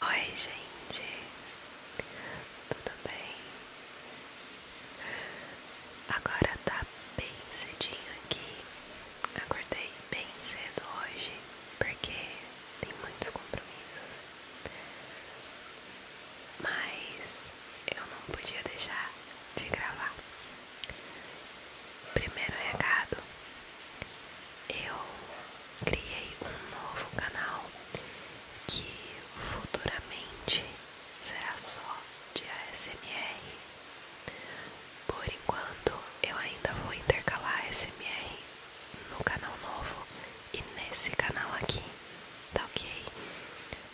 Oi, gente, tudo bem? Agora tá bem cedinho aqui. Acordei bem cedo hoje porque tem muitos compromissos, mas eu não podia deixar de gravar. Primeiro recado: eu criei um novo canal que futuramente será só de ASMR. Por enquanto, eu ainda vou intercalar ASMR no canal novo e nesse canal aqui, tá ok?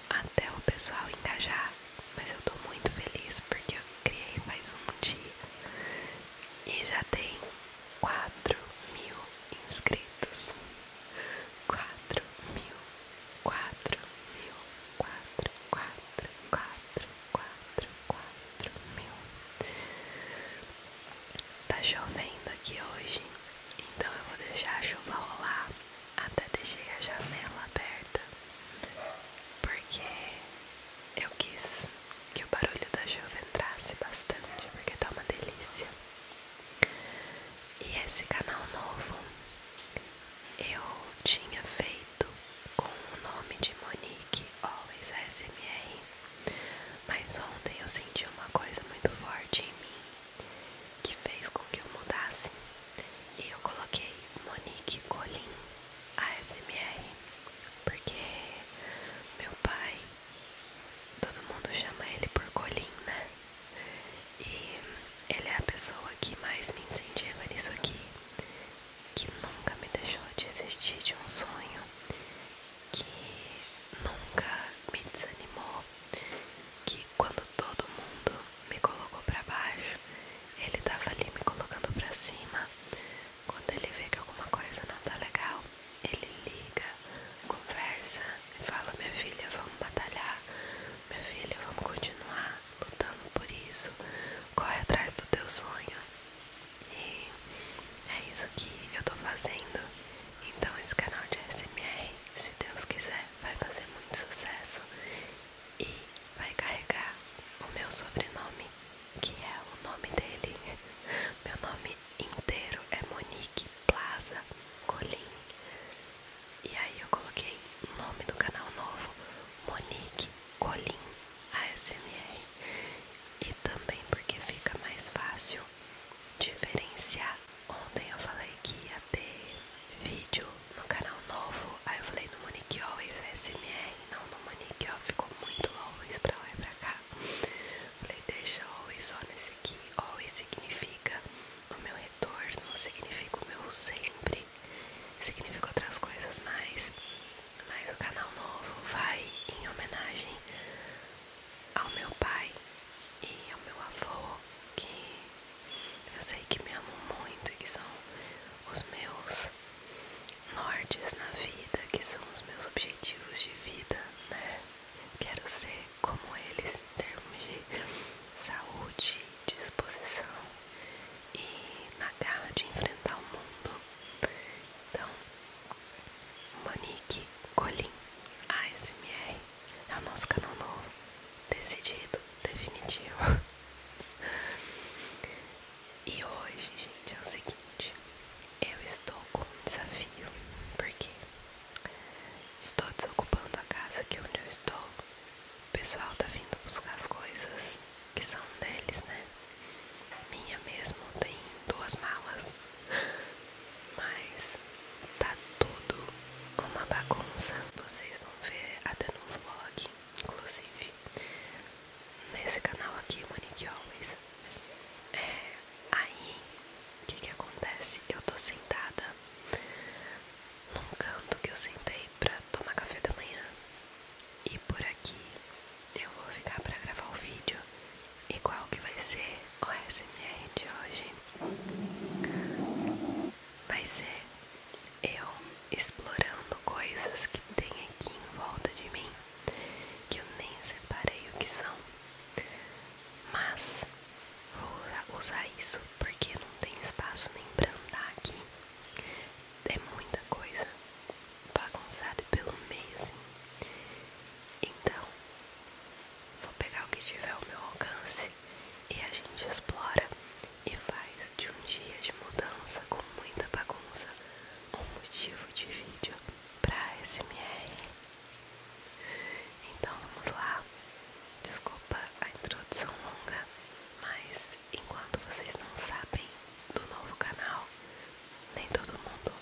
Até o pessoal engajar mas eu tô muito feliz porque eu criei mais um dia e já tem 4 mil inscritos. 4 mil, 4 mil, 4, 4, 4, 4, 4 mil. Tá chovendo aqui hoje, então eu vou deixar a chuva rolar até deixei a janela aberta porque eu quis que o barulho da chuva entrasse bastante, porque tá uma delícia. E esse canal novo eu tinha feito com o nome de Monique Always ASMR, mas ontem eu senti uma coisa muito forte em mim que fez com que eu mudasse. E eu coloquei Monique Colin ASMR, porque meu pai, todo mundo chama ele por Colin, né? E ele é a pessoa que mais me incentiva nisso aqui, que nunca me deixou de existir de um sonho, que nunca me desanimou, que quando todo mundo me colocou para baixo, ele tava ali me colocando para cima. Quando ele vê que alguma coisa não tá legal, ele liga, conversa e fala: Minha filha, vamos batalhar, minha filha, vamos continuar lutando por isso, corre atrás do teu sonho. E é isso que eu tô fazendo. Então, esse canal de SMR, se Deus quiser, vai fazer muito sucesso e vai carregar o meu sobrenome, que é o nome dele. Meu nome inteiro é Monique Plaza Colim. E aí eu coloquei o nome do canal novo, Monique Colim ASMR. E também porque fica mais fácil diferenciar. Ontem eu falei que ia ter vídeo no canal novo. Aí eu falei no Monique Always SMR, não no Monique, ó, ficou muito always pra lá e pra cá. Falei, deixa always só nesse aqui. Always significa o meu retorno, significa o meu sempre, significa outras coisas mais. Mas o canal novo vai em homenagem ao meu pai e ao meu avô que eu sei que me amo muito e que são os meus nortes na vida, que são os meus objetivos de vida, né? Quero ser como eles em termos de saúde, disposição e na garra de enfrentar o mundo. Então, Monique colin ASMR é o nosso canal novo, decidido, definitivo. E hoje, gente, é o seguinte: eu estou com um desafio, porque estou desocupando a casa aqui é onde eu estou. O pessoal está vindo buscar as coisas que são deles, né? Minha mesmo tem duas malas, mas tá tudo uma bagunça. Vocês vão ver até no vlog, inclusive nesse canal aqui, Monique Always. É, aí, o que que acontece? Eu tô sentada num canto que eu sentei para tomar café da manhã e por aqui eu vou ficar para gravar o vídeo e qual que vai ser o SMR de hoje vai ser eu explorando coisas que tem aqui em volta de mim que eu nem separei o que são, mas vou usar isso porque não tem espaço nem pra andar aqui. É muita coisa bagunçada e pelo meio assim. Então, vou pegar o que tiver ao meu alcance e a gente explora e faz de um dia de mudança com muita bagunça um motivo de vídeo para SMR. Então vamos lá. Desculpa a introdução longa, mas enquanto vocês não sabem do novo canal, nem todo mundo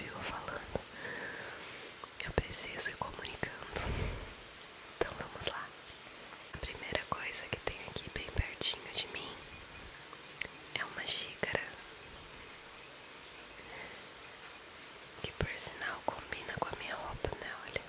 viu falando. Eu preciso ir comunicando. Então vamos lá. A primeira coisa que tem aqui bem pertinho de mim é uma xícara que por sinal combina com a minha roupa, né? Olha.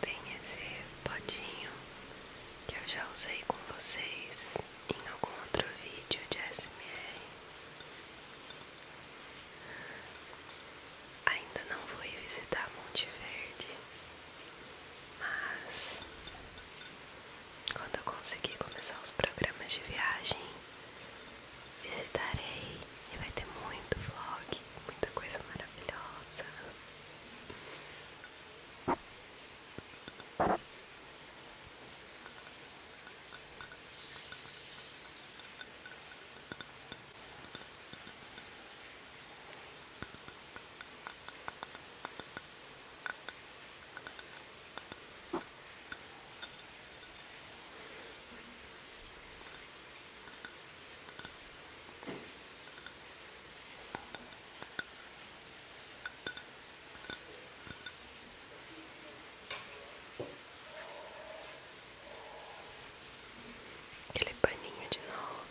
Tem esse potinho que eu já usei com vocês em algum outro vídeo de SMR. Ainda não fui visitar Monte Verde, mas quando eu conseguir começar os programas de viagem, visitarei e vai ter muito vlog, muita coisa maravilhosa. Aquele paninho de novo.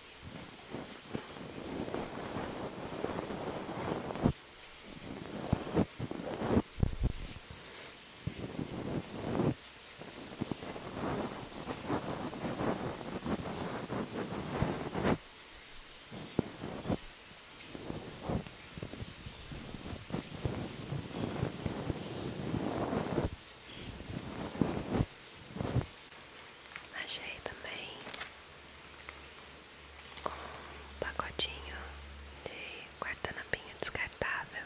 Achei também um pacotinho de guardanapinho descartável.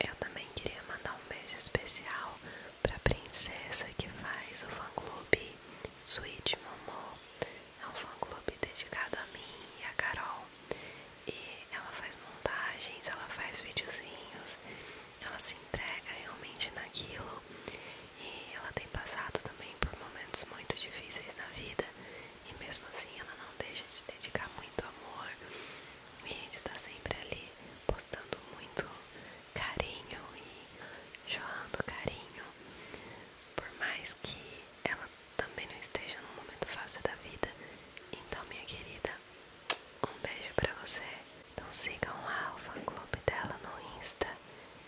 Eu também queria mandar um beijo especial para a princesa que faz o fã-clube Suíte Momô. É um fã-clube dedicado a mim e a Carol. E ela faz montagens, ela faz videozinhos, ela se entrega realmente naquilo. E ela tem passado também por momentos muito difíceis na vida, e mesmo assim ela não deixa de dedicar muito amor. E a gente tá sempre ali postando muito carinho e jorrando carinho. Por mais que ela também não esteja num momento fácil da vida. Então, minha querida, um beijo pra você. Então sigam lá o fã clube dela no Insta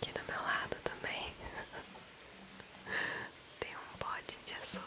Aqui do meu lado também tem um pote de açúcar.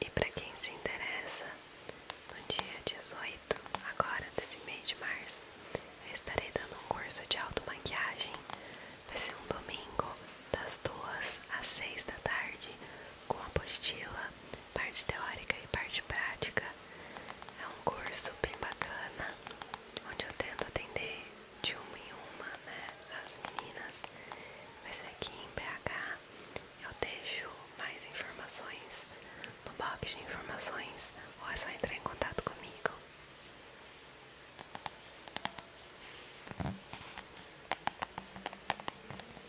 E para quem se interessa, no dia 18, agora desse mês de março, eu estarei dando um curso de automaquiagem. Vai ser um domingo, das 2 às 6 da tarde, com apostila parte teórica e parte prática. É um curso bem bacana, onde eu tento atender de uma em uma, né, as meninas. Mas aqui em BH eu deixo mais informações no box de informações, ou é só entrar em contato comigo.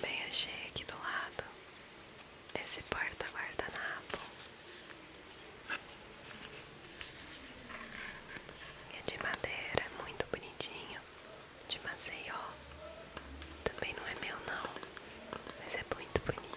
Bem, achei aqui do lado esse porta-guardanapo. É de madeira, é muito bonitinho, de Maceió. Também não é meu não, mas é muito bonito.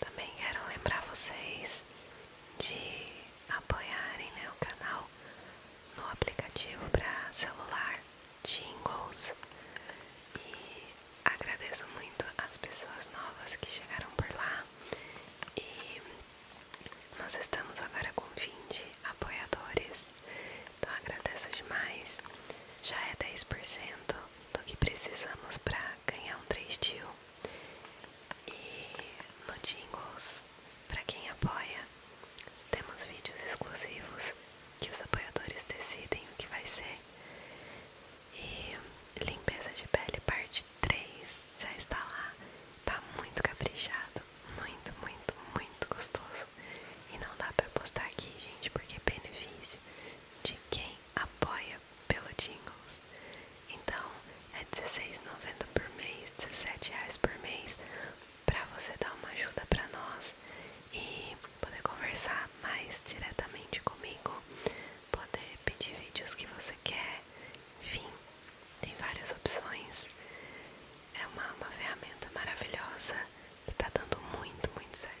Também quero lembrar vocês de apoiarem né, o canal no aplicativo para celular jingles e agradeço muito as pessoas novas que chegaram por lá e nós estamos agora com 20 apoiadores, então agradeço demais, já é 10% do que precisamos para ganhar um 3 deal e no jingles para quem apoia temos vídeos exclusivos que os apoiadores decidem o que vai ser. E limpeza de pele parte 3 já está lá. Tá muito caprichado, muito, muito, muito gostoso. E não dá para postar aqui, gente, porque é benefício de quem apoia pelo Jingles. Então é R$16,90 por mês, R$17,00 por mês, para você dar uma ajuda para nós e poder conversar mais diretamente comigo, poder pedir vídeos que você quer, enfim, tem várias opções. É uma, uma ferramenta maravilhosa que tá dando muito, muito certo.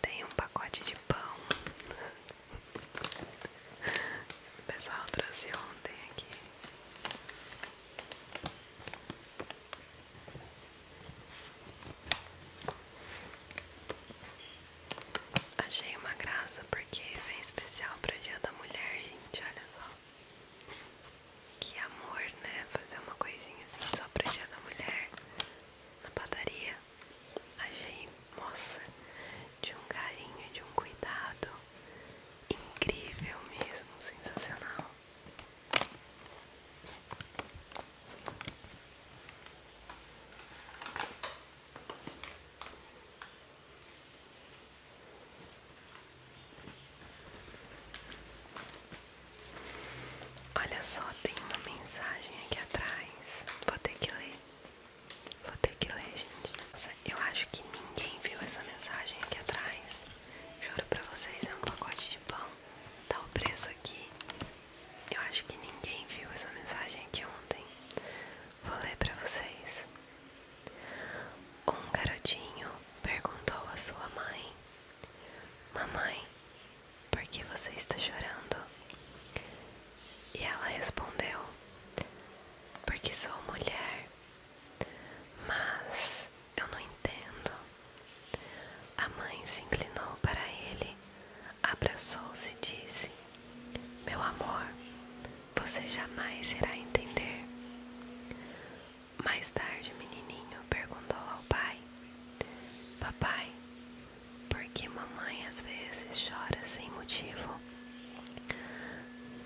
Tem um pacote de pão. O pessoal trouxe ontem aqui. Achei uma graça porque vem especial para o Dia da Mulher, gente. Olha só. Que amor, né? Fazer uma coisinha assim só pra dia da mulher na padaria. Achei, moça, de um carinho, de um cuidado incrível mesmo, sensacional. Olha só, tem uma mensagem aqui atrás. Vou ter que ler. Vou ter que ler, gente. eu acho que ninguém viu essa mensagem aqui atrás. Juro pra vocês, é um pacote de pão. Tá o preço aqui. Eu acho que ninguém viu essa mensagem aqui ontem. Vou ler pra vocês. Um garotinho perguntou à sua mãe Mamãe, por que você está chorando? E ela respondeu: Porque sou mulher. Mas eu não entendo. A mãe se inclinou para ele, abraçou-se e disse: Meu amor, você jamais irá entender. Mais tarde, o menininho perguntou ao pai: Papai, por que mamãe às vezes chora sem motivo?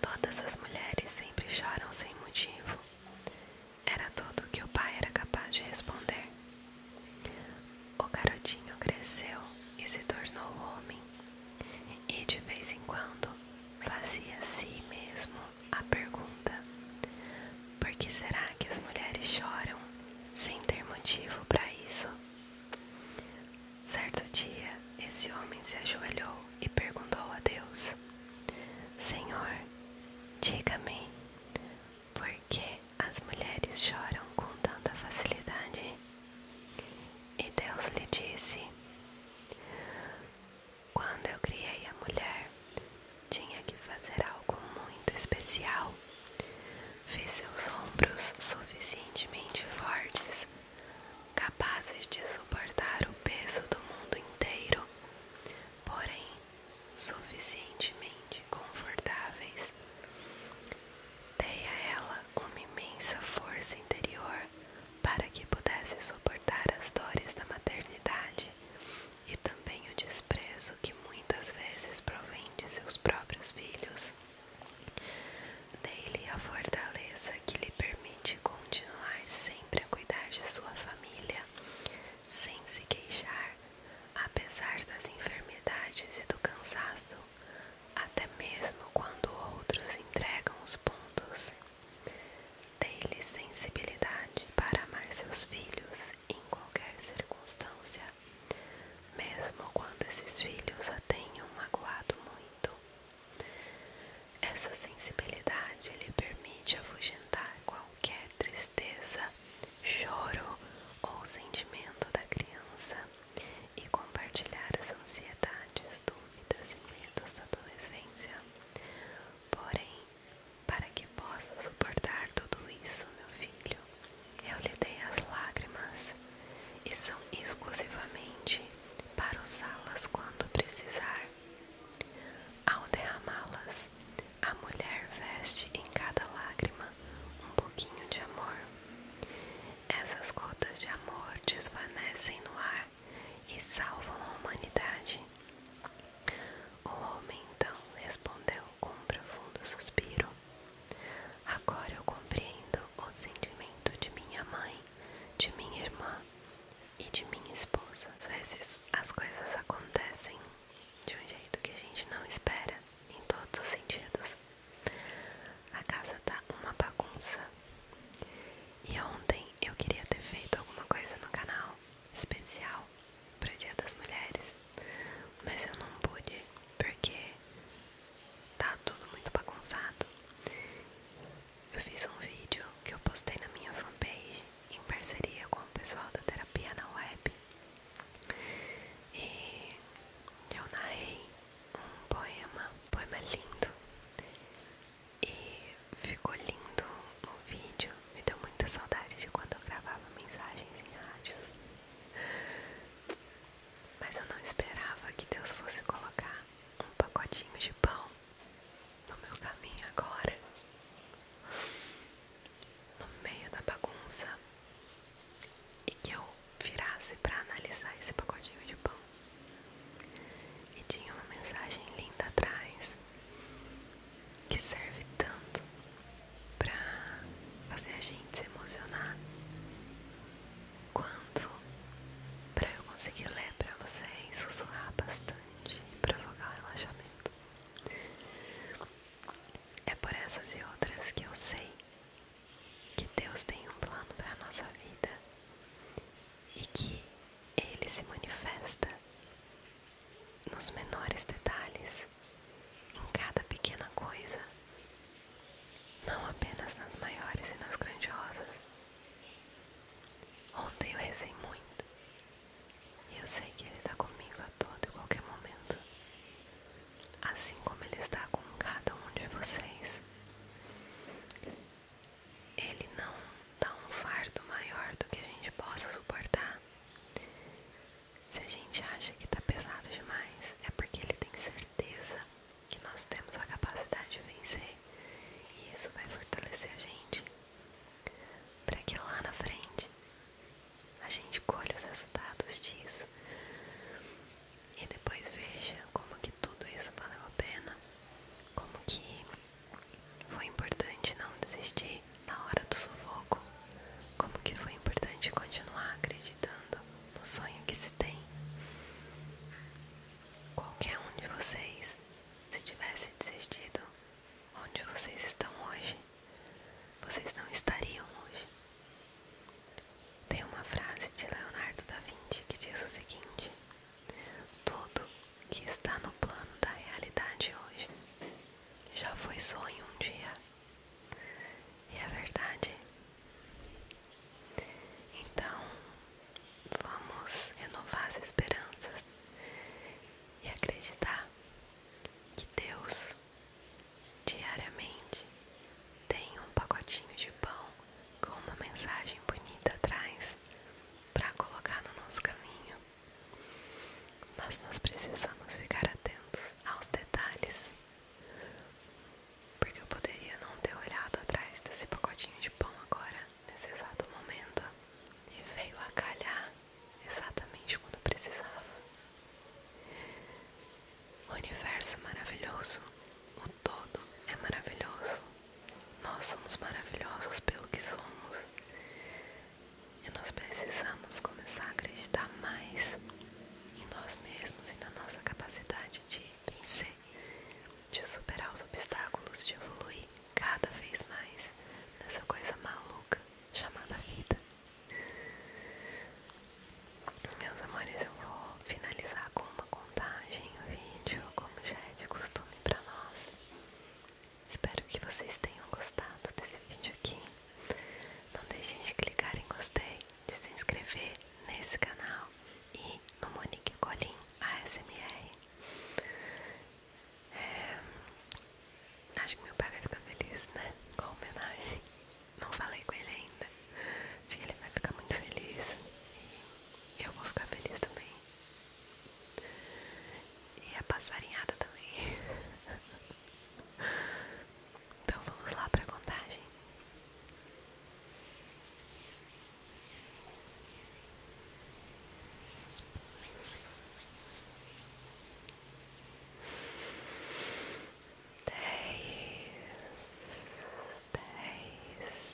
Todas as mulheres sempre choram sem motivo. Era tudo que o pai era capaz de responder. O garotinho cresceu e se tornou homem, e de vez em quando fazia a si mesmo a pergunta: Por que será que as mulheres choram sem ter motivo para isso? Certo dia, esse homem se ajoelhou e perguntou a Deus: Senhor, diga-me, por que as mulheres choram com tanta facilidade? E Deus lhe disse: quando eu criei a mulher, tinha que fazer algo muito especial. Fiz seus ombros suficientemente fortes, capazes de suportar o peso do mundo inteiro, porém suficientemente confortáveis. Dei a ela uma imensa força interior para que pudesse suportar as dores da maternidade e também o desprezo que muitas vezes provém de seus próprios filhos. Dei-lhe a fortaleza que lhe permite continuar sempre a cuidar de sua família, sem se queixar, apesar das enfermidades e do cansaço, até mesmo quando outros entregam os pontos. Dei-lhe sensibilidade para amar seus filhos em qualquer circunstância, mesmo quando esses filhos a tenham magoado muito. Essa sensibilidade lhe permite afugentar qualquer tristeza, choro ou sentimento da criança e compartilhar as ansiedades, dúvidas e medos da adolescência, Porém, para que possa suportar tudo isso, meu filho, eu lhe dei as lágrimas e são exclusivamente para usá-las quando precisar. Ao derramá-las, a mulher veste em cada lágrima um pouquinho de amor. Essas gotas de amor desvanecem no ar e salvam a humanidade. O homem então respondeu com um profundo suspiro: Agora eu compreendo o sentimento de minha mãe, de minha irmã e de minha esposa. Às vezes as coisas acontecem de um jeito que a gente não espera, em todos os sentidos. A casa tá uma bagunça. E ontem eu queria ter feito alguma coisa no canal especial para o Dia das Mulheres, mas eu não pude porque tá tudo muito bagunçado. Eu fiz um vídeo que eu postei na minha fanpage em parceria com o pessoal da terapia na web e eu narrei um poema, poema lindo e ficou lindo o vídeo. Me deu muita saudade de quando eu gravava mensagens em rádios. Mas eu não esperava que Deus fosse colocar um pacotinho de pão no meu caminho agora. No meio da bagunça. E que eu virasse para analisar esse pacotinho de pão e tinha uma mensagem linda atrás que serve tanto para fazer a gente se emocionar quanto para eu conseguir ler para vocês, sussurrar bastante e provocar o relaxamento. É por essas e outras que eu sei que Deus tem um plano para nossa vida e que ele se manifesta nos menores detalhes, em cada pequena coisa, não apenas nas maiores e nas grandiosas. Ontem eu rezei muito e eu sei que ele está comigo a todo e qualquer momento, assim como ele está com cada um de vocês ele não dá um fardo maior do que a gente possa suportar. Se a gente acha que está pesado demais, é porque ele tem certeza que nós temos a capacidade de vencer e isso vai fortalecer a gente para que lá na frente a gente colhe os resultados disso e depois veja como que tudo isso valeu a pena, como que foi importante não desistir na hora do sufoco, como que foi importante continuar acreditando no sonho que se tem. Qualquer um de vocês, se tivesse desistido onde vocês estão hoje, vocês não estariam hoje. Tem uma frase de Leonardo da Vinci que diz o seguinte: tudo que está no plano da realidade hoje já foi sonho um dia. E é verdade. Então, vamos renovar as esperanças e acreditar que Deus diariamente tem um pacotinho de pão com uma mensagem bonita atrás para colocar no nosso caminho. Mas nós precisamos ficar atentos aos detalhes, porque eu poderia não ter olhado atrás desse pacotinho de pão agora, nesse exato momento, e veio a calhar exatamente quando precisava. universo maravilhoso, o todo é maravilhoso. Nós somos maravilhosos pelo que somos e nós precisamos começar a acreditar mais em nós mesmos e na nossa capacidade de vencer, de superar os obstáculos, de evoluir cada vez mais nessa coisa maluca chamada vida. Meus amores, eu vou finalizar com uma contagem o vídeo, como já é de costume para nós. Espero que vocês tenham gostado desse vídeo aqui. Não deixem de clicar em gostei, de se inscrever nesse canal e no Monique Colim ASMR. É, acho que meu pai vai ficar feliz, né? Com a homenagem. Não falei com ele ainda. Acho que ele vai ficar muito feliz. E eu vou ficar feliz também. E a passarinhada também. então vamos lá para a contagem. Dez, dez,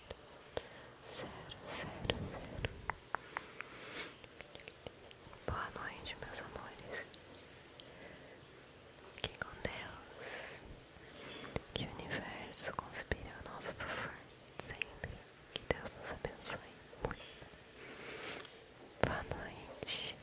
zero, zero. zero. Boa noite, meus amores. Que com Deus, que o universo conspire ao nosso favor sempre. Que Deus nos abençoe muito. Boa noite.